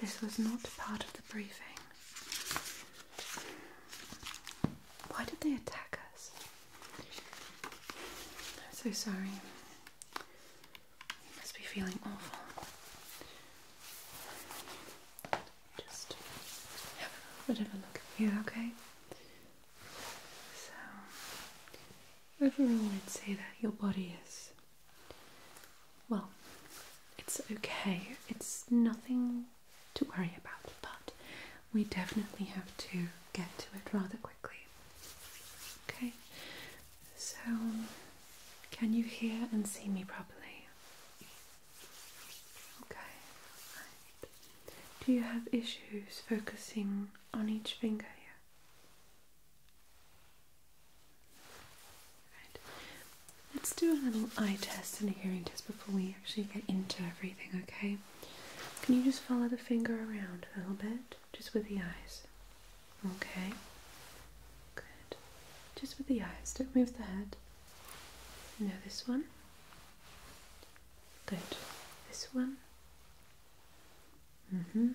This was not part of the briefing. Why did they attack us? I'm so sorry. You must be feeling awful. Just have a look at you, okay? So, overall, I'd say that your body is well, it's okay. It's nothing to worry about, but we definitely have to get to it rather quickly. Okay, so can you hear and see me properly? Okay, right. Do you have issues focusing on each finger here? Let's do a little eye test and a hearing test before we actually get into everything, okay? Can you just follow the finger around a little bit? Just with the eyes. Okay. Good. Just with the eyes. Don't move the head. Now this one. Good. This one. Mm-hmm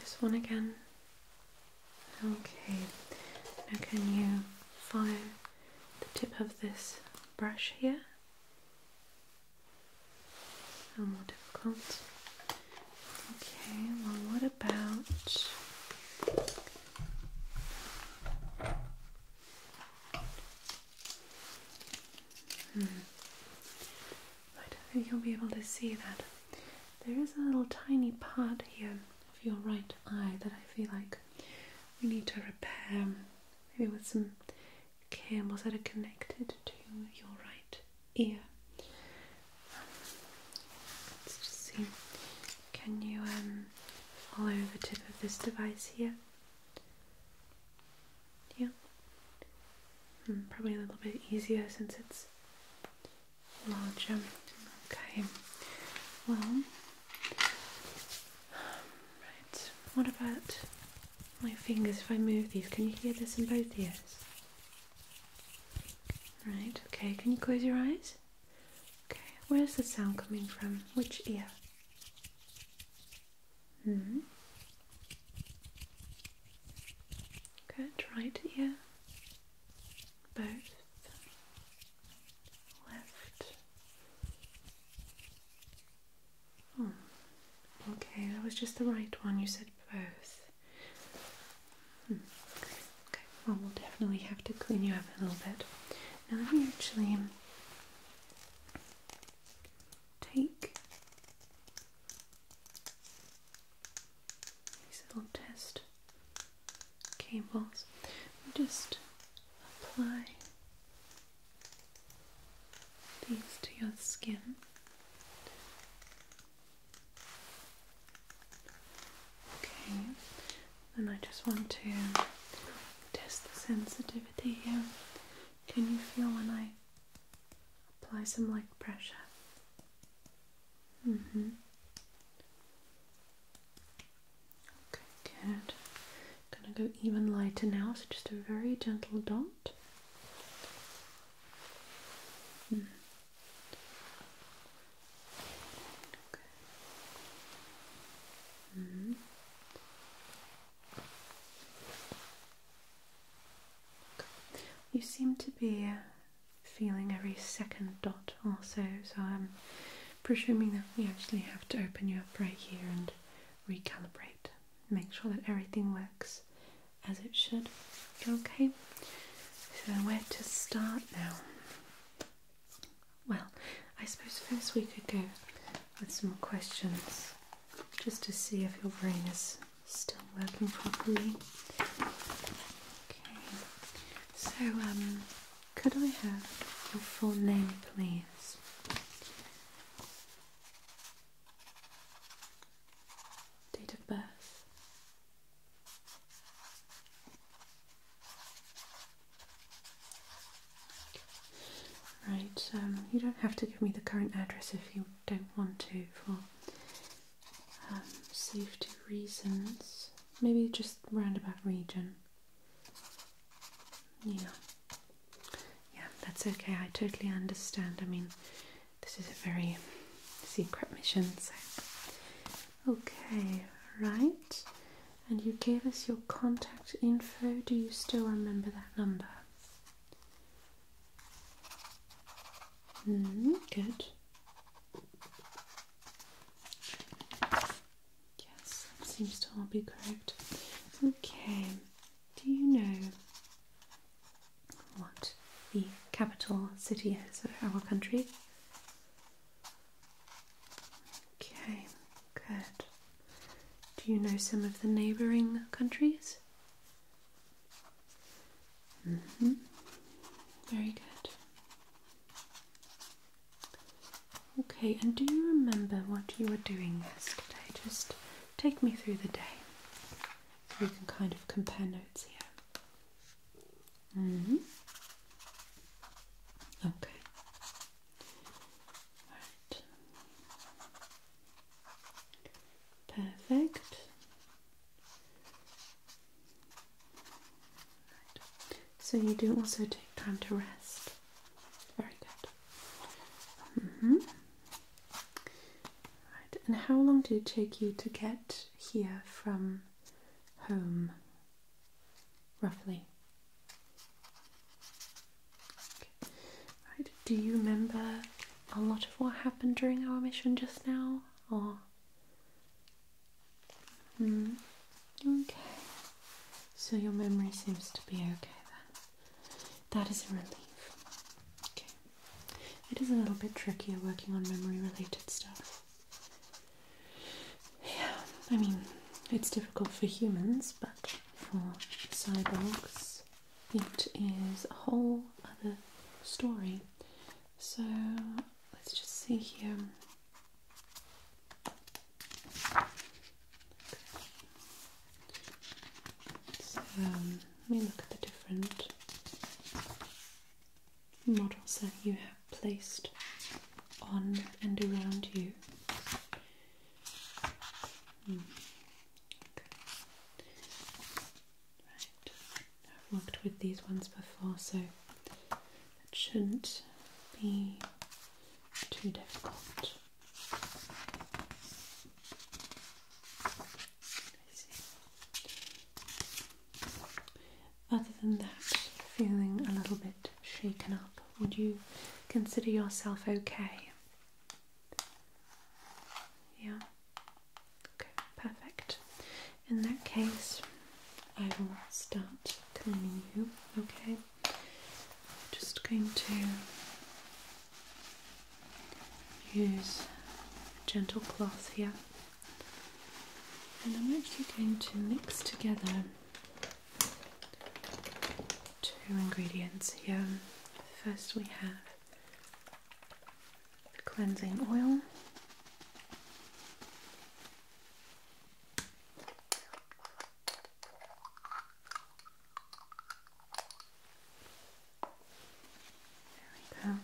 this one again. Okay, now can you follow the tip of this brush here? A little more difficult. Okay, well, what about? I don't think you'll be able to see that. There is a little tiny part here of your right eye that I feel like we need to repair, maybe with some cables that are connected to your right ear. Let's just see. Can you um, follow the tip of this device here? Yeah. Hmm, probably a little bit easier since it's larger. Okay. Well, right. What about my fingers? If I move these, can you hear this in both ears? Right. Okay. Can you close your eyes? Okay. Where's the sound coming from? Which ear? hmm. Good, right ear. Both. Left. Hmm. okay, that was just the right one. You said both. Hmm. Okay, well, we'll definitely have to clean you up a little bit. Now, let me actually take these little test cables just apply these to your skin. Okay, and I just want to test the sensitivity here. Can you feel when I apply some light pressure? Mm-hmm. Okay, good. gonna go even lighter now, so just a very gentle dot. Mm. Okay. Mm. You seem to be feeling every second dot also, so I'm presuming that we actually have to open you up right here and recalibrate. Make sure that everything works as it should. Okay, so where to start now? Well, I suppose first we could go with some more questions just to see if your brain is still working properly. Okay, so um, could I have your full name, please? Date of birth. Right, you don't have to give me the current address if you don't want to for um, safety reasons. Maybe just roundabout region. Yeah. Yeah, that's okay. I totally understand. I mean, this is a very secret mission, so. Okay, right and you gave us your contact info. Do you still remember that number? Hmm, good. Yes, that seems to all be correct. Okay, do you know what the capital city is of our country? Okay, good. Do you know some of the neighbouring countries? Mm-hmm. Very good. Okay, and do you remember what you were doing yesterday? Just take me through the day we can kind of compare notes here. Mm-hmm. Okay. Perfect. So you do also take time to rest. Very good. Mm-hmm. And how long did it take you to get here from home? Roughly. Do you remember a lot of what happened during our mission just now? Or hmm, okay. So your memory seems to be okay then. That is a relief. Okay. It is a little bit trickier working on memory related stuff. Yeah, I mean, it's difficult for humans, but for cyborgs, it is a whole other story. So let's just see here. So let me look at the different models that you have placed on and around you. I've worked with these ones before, so it shouldn't be too difficult. Other than that, feeling a little bit shaken up. Would you consider yourself okay? Yeah. Okay, perfect. In that case, I will start cleaning you. Okay. Just going to use a gentle cloth here, and I'm actually going to mix together two ingredients here. First, we have the cleansing oil. There we go.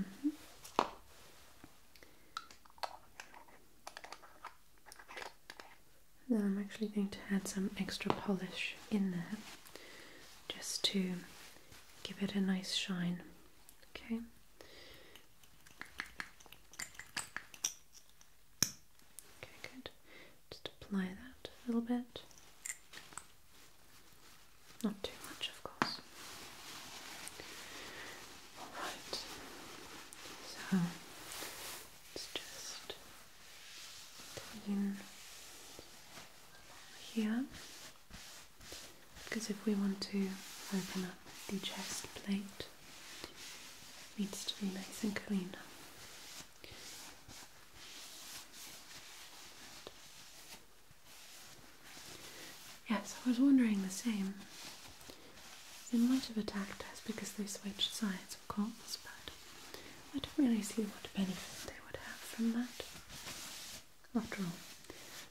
-hmm. Now I'm actually going to add some extra polish in there just to give it a nice shine. Okay. Okay, good. Just apply that a little bit. Not too much, of course. Alright, so let just clean here because if we want to open up the chest plate, it needs to be nice and clean. Yes, I was wondering the same. They might have attacked us because they switched sides, of course, but I don't really see what benefit they would have from that. After all,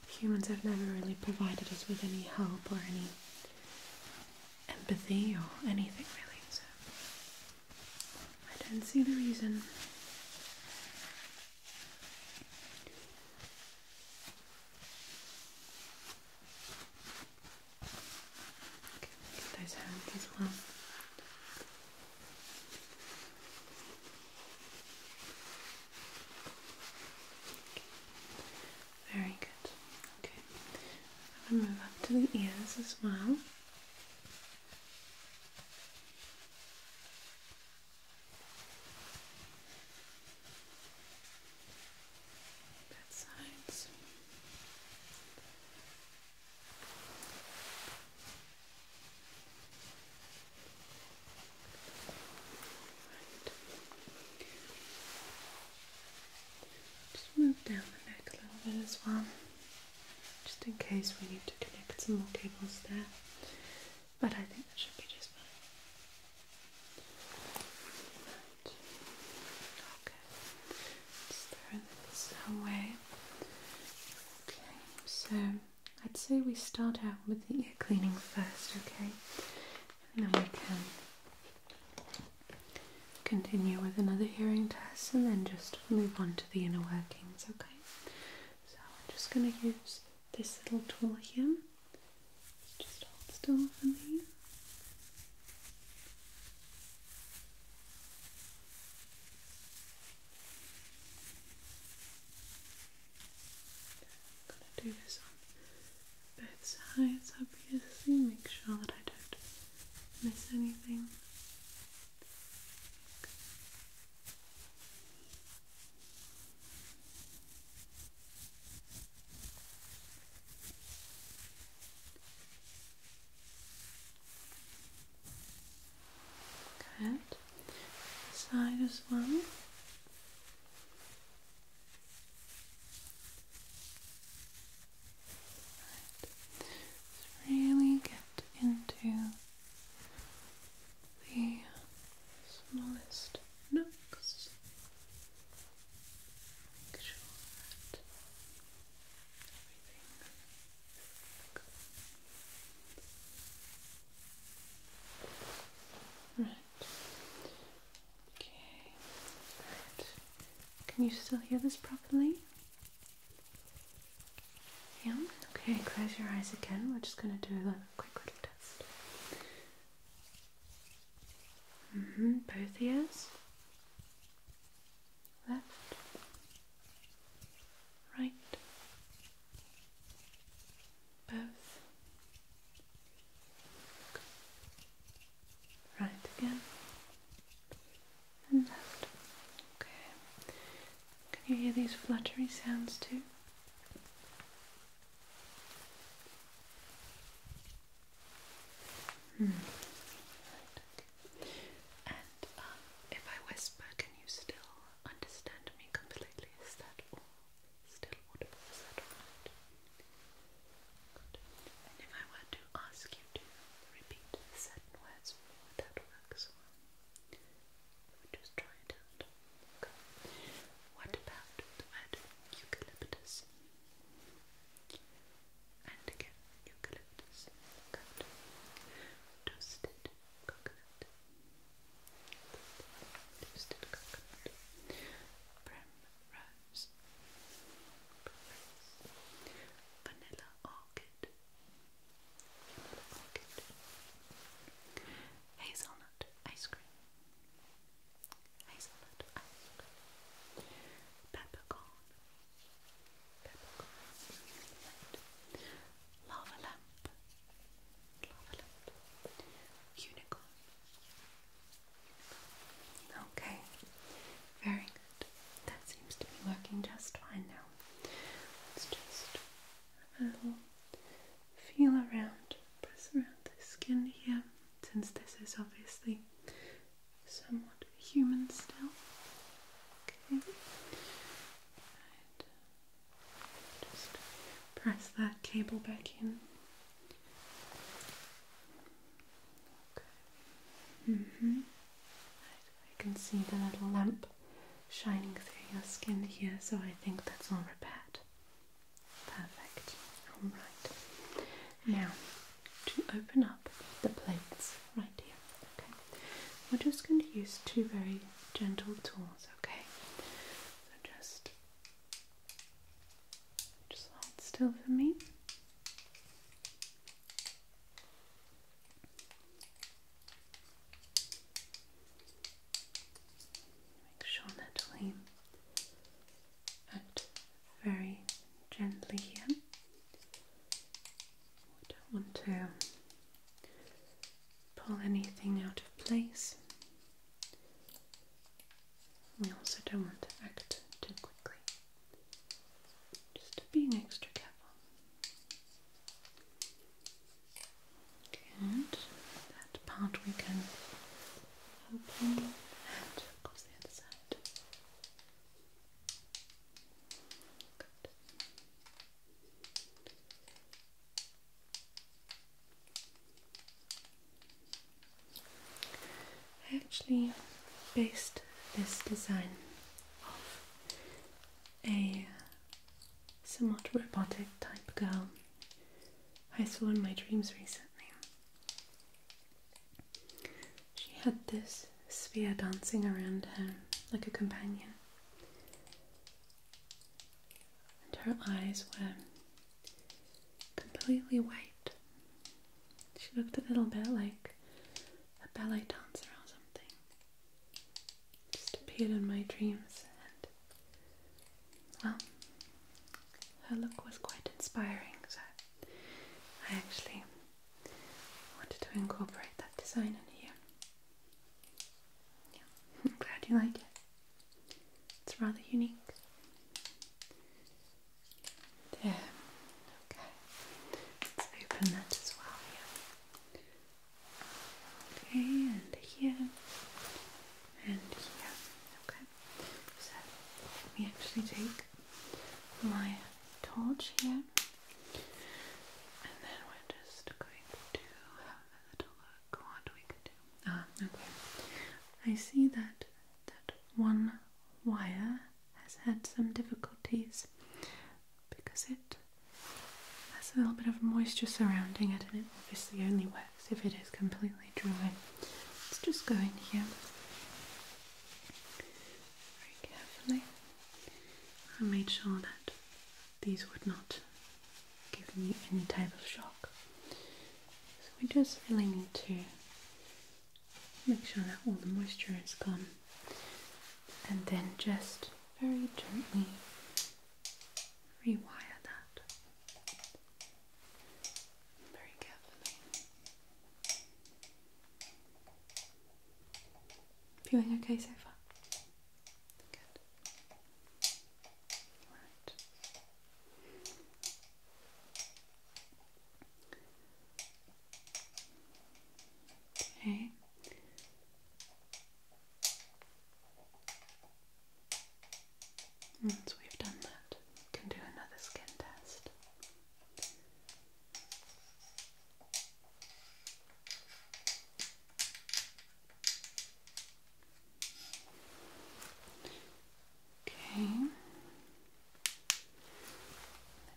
humans have never really provided us with any help or any empathy or anything really, so I don't see the reason those hands as well. Okay. Very good. Okay. I'm gonna move up to the ears as well. That sides. Just move down the neck little bit as well, just in case we need to connect some more cables there but I think that should be just fine. Okay, let's throw this away. Okay, so I'd say we start out with the ear cleaning first, okay, and then we can continue with another hearing test and then just move on to the inner workings, okay. So I'm just going to use this little tool here. Just hold still for me. i to do this on both sides, obviously. Make sure that I don't miss anything. Good. Side as well. Let's really get into the smallest nooks. Make sure that everything Right. Okay. Right. Can you still hear this properly? Yeah. Okay. Close your eyes again. We're just going to do that quick little test. Mm-hmm, both ears. Left. Right. Both. Right again. And left. Okay. Can you hear these fluttery sounds too? Hmm. And uh, if I whisper, can you still understand me completely? Is that still audible? Is that alright? And if I were to ask you to repeat certain words would that work as well? Just try What about the eucalyptus? And again, eucalyptus. Toasted coconut. Toasted coconut. Primrose. Vanilla orchid. Hazelnut ice cream. Hazelnut ice cream. Peppercorn. Peppercorn. Lava lamp. Lava lamp. Unicorn. Okay. Very good. That seems to be working just fine now. Let's just I will feel around, press around the skin here since this is obviously somewhat human still. Okay. Right. Just press that cable back in. Okay. hmm I can see the little lump shining through your skin here, so I think that's all repaired. Perfect. Alright. Now, to open up the plates right here, okay, we're just going to use two very gentle tools, okay? So just, just hold still for me. Make sure that act very gently here. We don't want to pull anything out of place. We also don't want to act too quickly. Just be extra careful. Good. That part we can open and across the other side. I actually based this design off a somewhat robotic type girl I saw in my dreams recently. She had this sphere dancing around her like a companion, and her eyes were completely white. She looked a little bit like a ballet dancer or something just appeared in my dreams, and well, her look was quite inspiring, so I actually wanted to incorporate that design in here. Yeah, I'm glad you like it. It's rather unique. There, okay. Let's open that as well. Yeah and here and here. Okay, so let me actually take my torch here, and then we're just going to have a little look what we do. Ah, okay. I see that that one wire has had some difficulties because it has a little bit of moisture surrounding it and it obviously only works if it is completely dry. Let's just go in here very carefully. I made sure that these would not give me any type of shock. So we just really need to make sure that all the moisture is gone and then just very gently rewire that very carefully. Feeling okay so far? Good. Right. Okay. Once we've done that, we can do another skin test. Okay.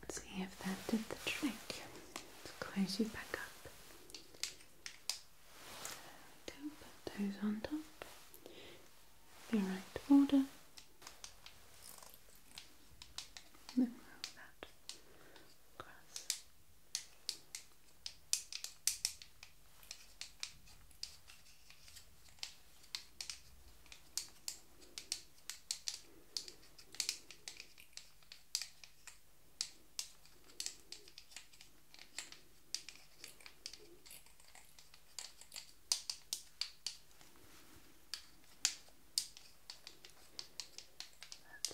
Let's see if that did the trick. Let's close you back up. There put those on top. The right order. then roll that Lovely.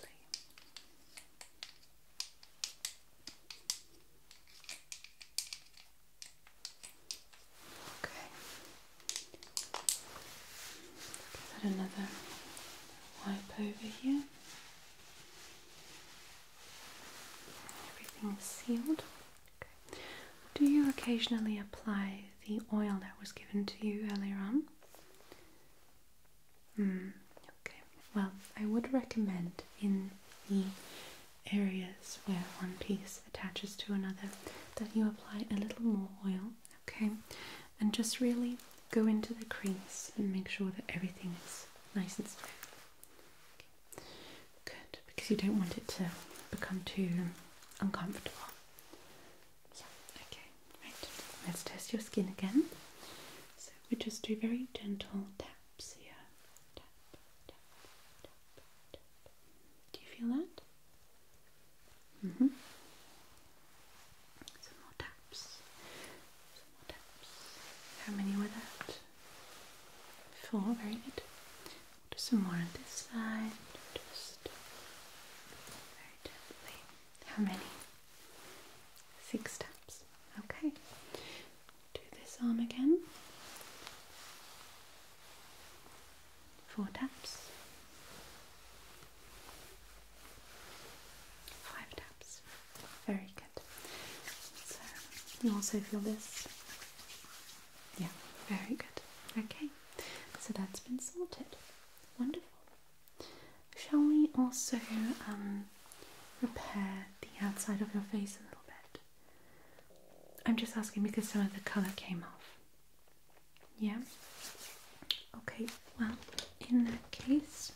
Okay. Put another wipe over here. Everything's sealed. Do you occasionally apply the oil that was given to you earlier on? Mm, okay. Well, I would recommend in the areas where one piece attaches to another that you apply a little more oil Okay, and just really go into the crease and make sure that everything is nice and smooth. Good, because you don't want it to become too uncomfortable. Yeah, okay, right. Let's test your skin again. So we just do very gentle taps here. Tap, tap, tap, tap. Do you feel that? Mm -hmm. Some more taps. How many were that? Four. Very good. do some more on this side. Just very gently. How many? Six taps. Okay. Do this arm again four taps, five taps. Very good. you also feel this? Yeah, very good. Okay, so that's been sorted. Wonderful. Shall we also um, repair the outside of your face a little bit? I'm just asking because some of the colour came off. Yeah. Okay, well, in that case,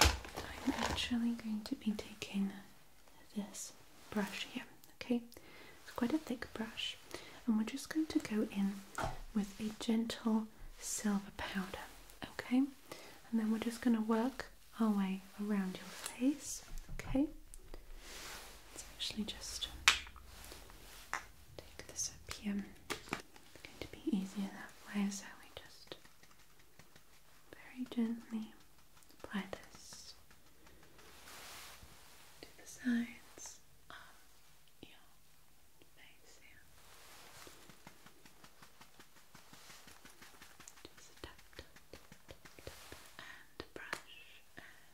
I'm actually going to be taking this brush here, okay? It's quite a thick brush, and we're just going to go in with a gentle silver powder, okay? And then we're just going to work our way around your face, okay? It's actually just take this up here. It's going to be easier that way, so we just very gently apply this to the sides of your face here. Just tap, tap, tap, tap, tap, and brush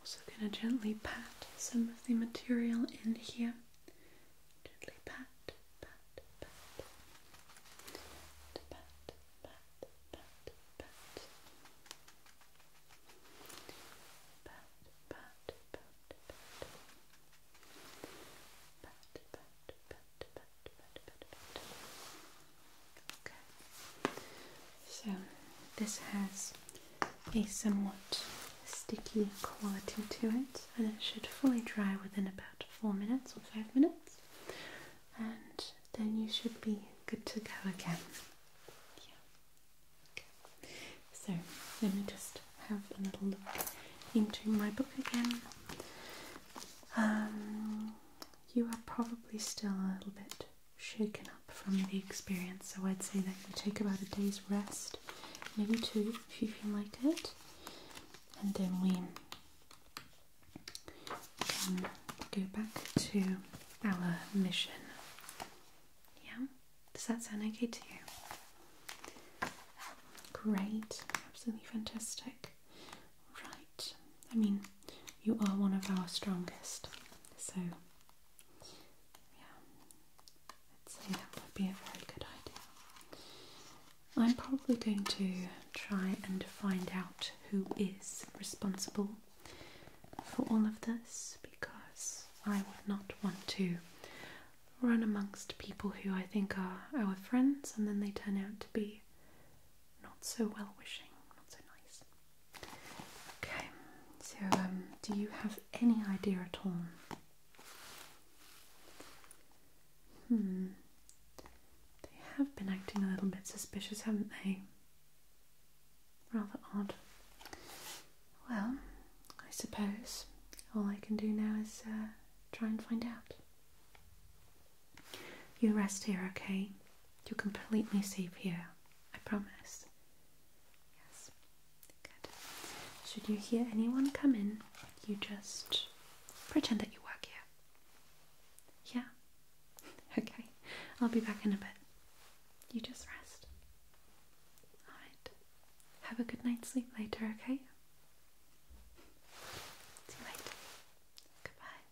Also gonna gently pat some of the material in here. Gently pat, pat, pat, pat, pat, pat, pat, pat, pat, pat, pat, pat, pat, pat, pat, pat, pat, pat. Okay. So this has a somewhat sticky quality to it, and it should fully dry within about four minutes or five minutes, and then you should be good to go again. Yeah. Okay. So let me just have a little look into my book again. Um, you are probably still a little bit shaken up from the experience. So I'd say that you take about a day's rest, maybe two if you feel like it, and then we can go back to our mission. Yeah? Does that sound okay to you? Great, absolutely fantastic. Right, I mean, you are one of our strongest, so yeah, I'd say that would be a very good idea. I'm probably going to try and find out who is responsible for all of this because I would not want to run amongst people who I think are our friends and then they turn out to be not so well wishing, not so nice. Okay, so um, do you have any idea at all? Hmm, they have been acting a little bit suspicious, haven't they? Rather odd. Well, I suppose all I can do now is uh, try and find out. You rest here, okay? You're completely safe here, I promise. Yes, good. Should you hear anyone come in, you just pretend that you work here. Yeah? Okay, I'll be back in a bit. You just rest. Alright, have a good night's sleep later, okay? See you later. Goodbye.